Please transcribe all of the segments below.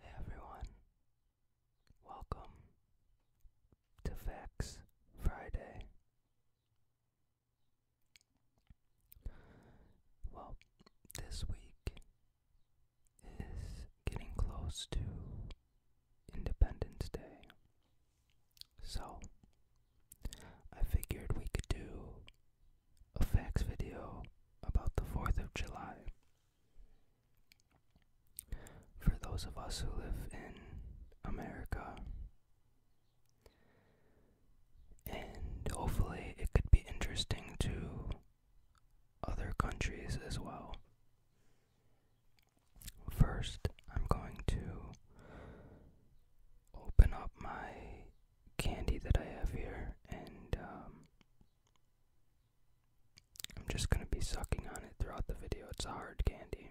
Hey everyone, welcome to Vex Friday. Well, this week is getting close to Independence Day, so I figured we could do a facts video about the 4th of July. For those of us who live in America, and hopefully it could be interesting to other countries as well. First, I'm going to open up my candy that I have here and um, I'm just going to be sucking on it throughout the video. It's a hard candy.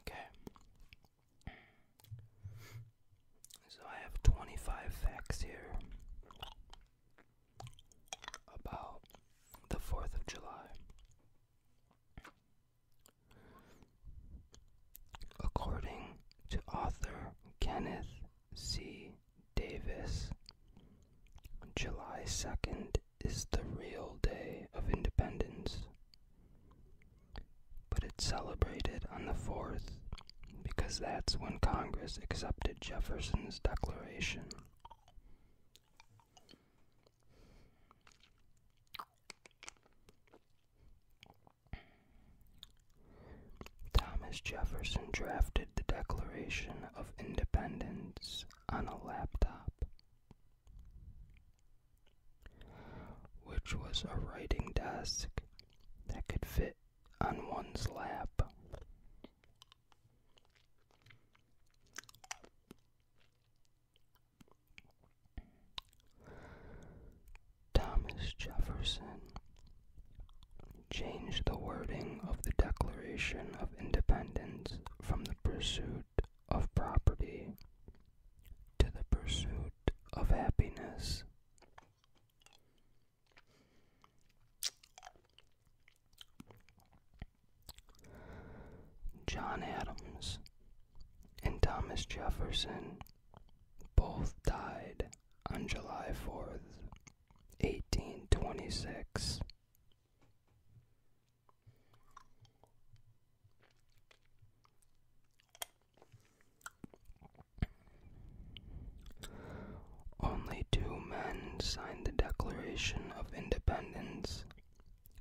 Okay. So I have 25 facts here about the 4th of July. According to author Kenneth C. Davis, July 2nd is the real day of independence. But it's celebrated on the 4th because that's when Congress accepted Jefferson's Declaration. Thomas Jefferson drafted the Declaration of Independence on a laptop which was a writing desk that could fit on one's lap. Thomas Jefferson changed the wording of the Declaration of Independence from pursuit of property, to the pursuit of happiness. John Adams and Thomas Jefferson both died on July 4th, 1826, only two men signed the Declaration of Independence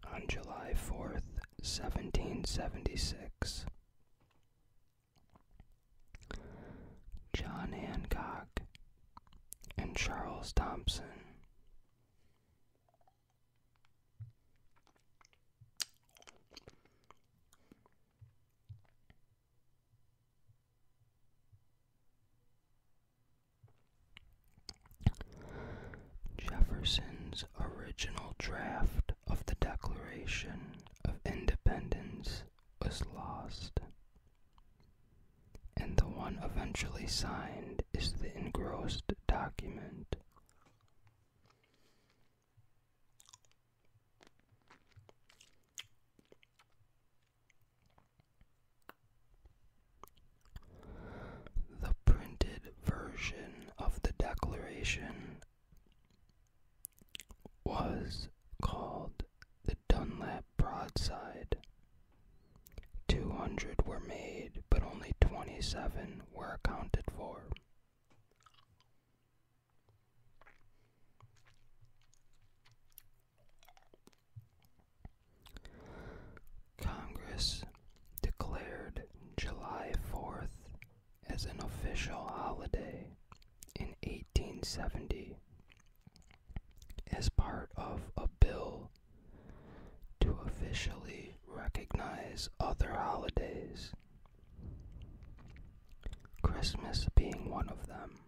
on July 4th, 1776. John Hancock and Charles Thompson. Jefferson's original draft of the Declaration of Independence was lost and the one eventually signed is the engrossed document. The printed version of the Declaration was called the Dunlap broadside. 200 were made, but only 27 were accounted for. Congress declared July 4th as an official holiday in 1870. As part of a bill to officially recognize other holidays, Christmas being one of them.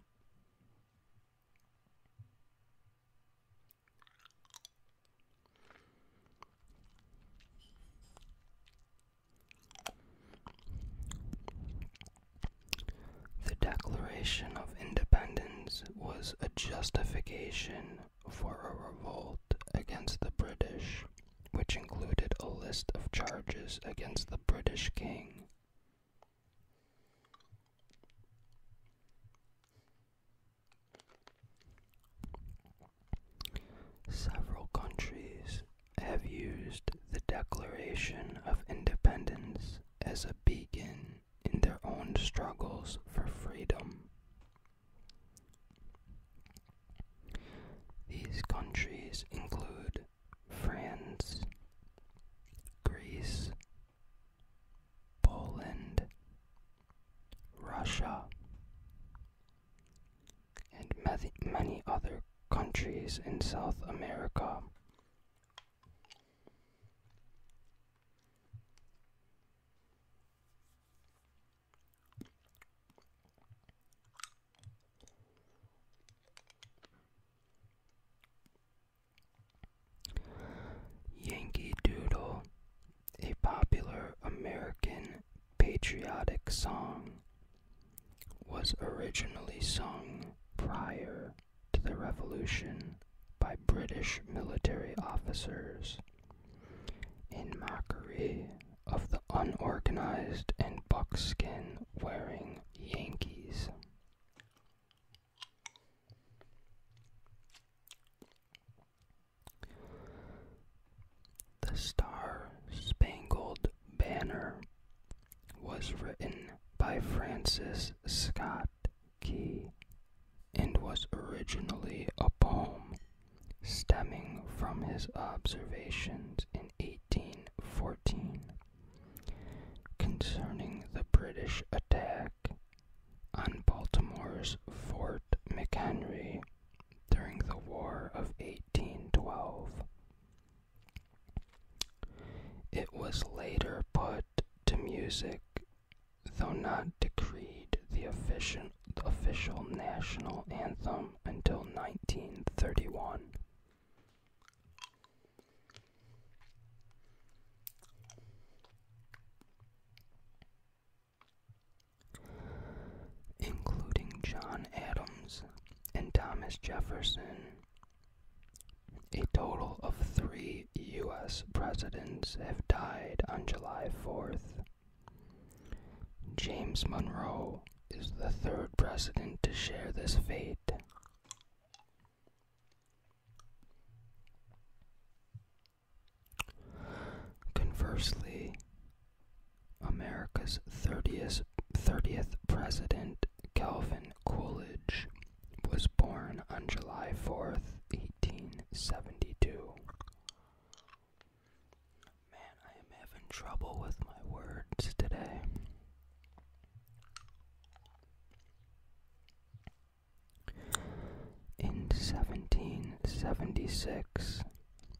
The Declaration of Independence was a justification for a revolt against the British, which included a list of charges against the British king. Several countries have used the Declaration of Independence as a beacon in their own struggles for freedom. These countries include France, Greece, Poland, Russia, and many other countries in South America. Yankee Doodle, a popular American patriotic song was originally sung prior to the Revolution by British military officers in mockery of the unorganized and buckskin wearing Yankees. The Star Spangled Banner was written by Francis Scott Key and was originally a poem stemming from his observations in 1814 concerning the British attack on Baltimore's Fort McHenry during the War of 1812. It was later put to music, though not decreed the official, national anthem until 1931 including John Adams and Thomas Jefferson. A total of three U.S. presidents have died on July 4th. James Monroe is the third president to share this fate. Conversely, America's 30th, 30th president, Calvin Coolidge, was born on July 4th, 1872. Man, I am having trouble with my words today. In 1776,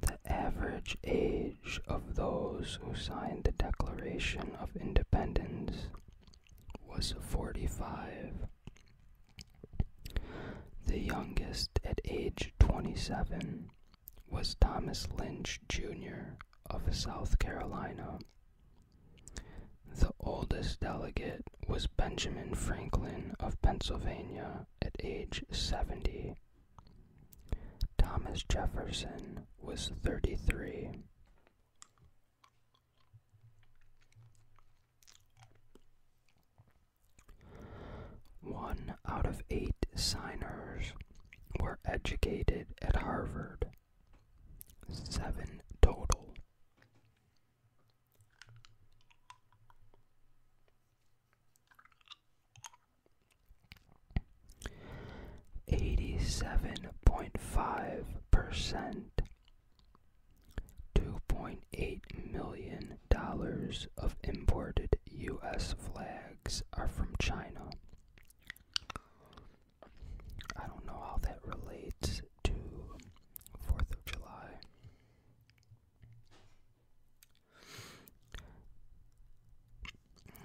The average age of those who signed the Declaration of Independence was 45, the youngest at age 27 was Thomas Lynch, Jr. of South Carolina. The oldest delegate was Benjamin Franklin of Pennsylvania at age 70. Thomas Jefferson was 33. One out of eight signers were educated at Harvard, seven total. Eighty-seven point five percent, two point eight million dollars of imported U.S. flags are from China. I don't know how that relates to 4th of July.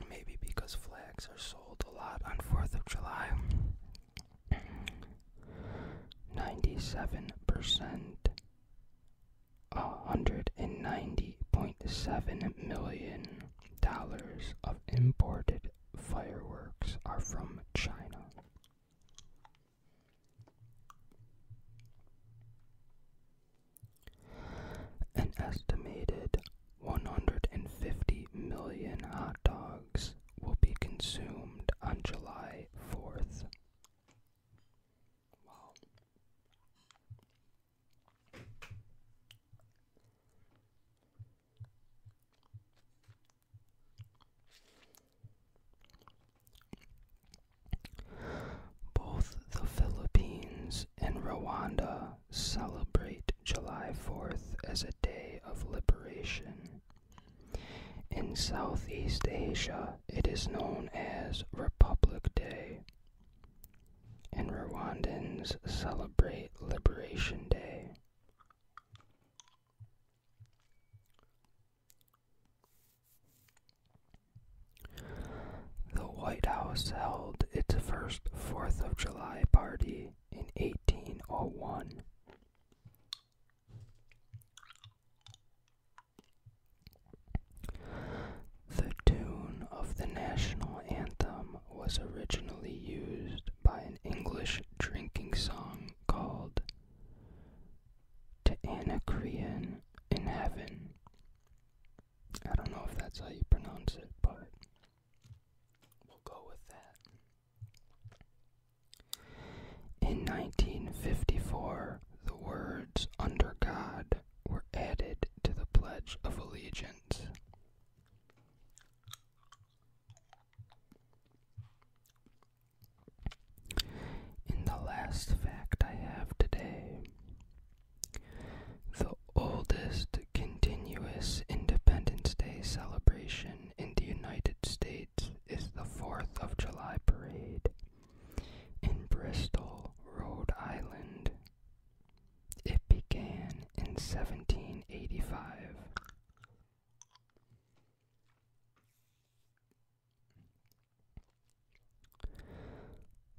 Maybe because flags are sold a lot on 4th of July. 97%, 190.7 million dollars of imported fireworks are from China. An estimated 150 million hot dogs will be consumed on July 4th. Both the Philippines and Rwanda celebrate July 4th as a day of liberation. In Southeast Asia, it is known as Republic Day, and Rwandans celebrate Liberation Day. The White House held its first Fourth of July party in 1801. The tune of the national anthem was originally used by an English drinking song called To Anacreon in Heaven. I don't know if that's how you pronounce it, but we'll go with that. In 1954, the words under God were added to the Pledge of Allegiance. In the last fact I have today, the oldest continuous Independence Day celebration in the United States is the 4th of July parade in Bristol, Rhode Island. It began in 1785.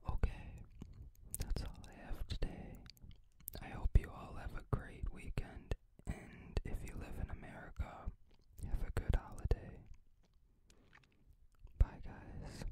Okay, that's all I have today. I hope you all have a great weekend, and if you live in America, have a good holiday. Bye, guys.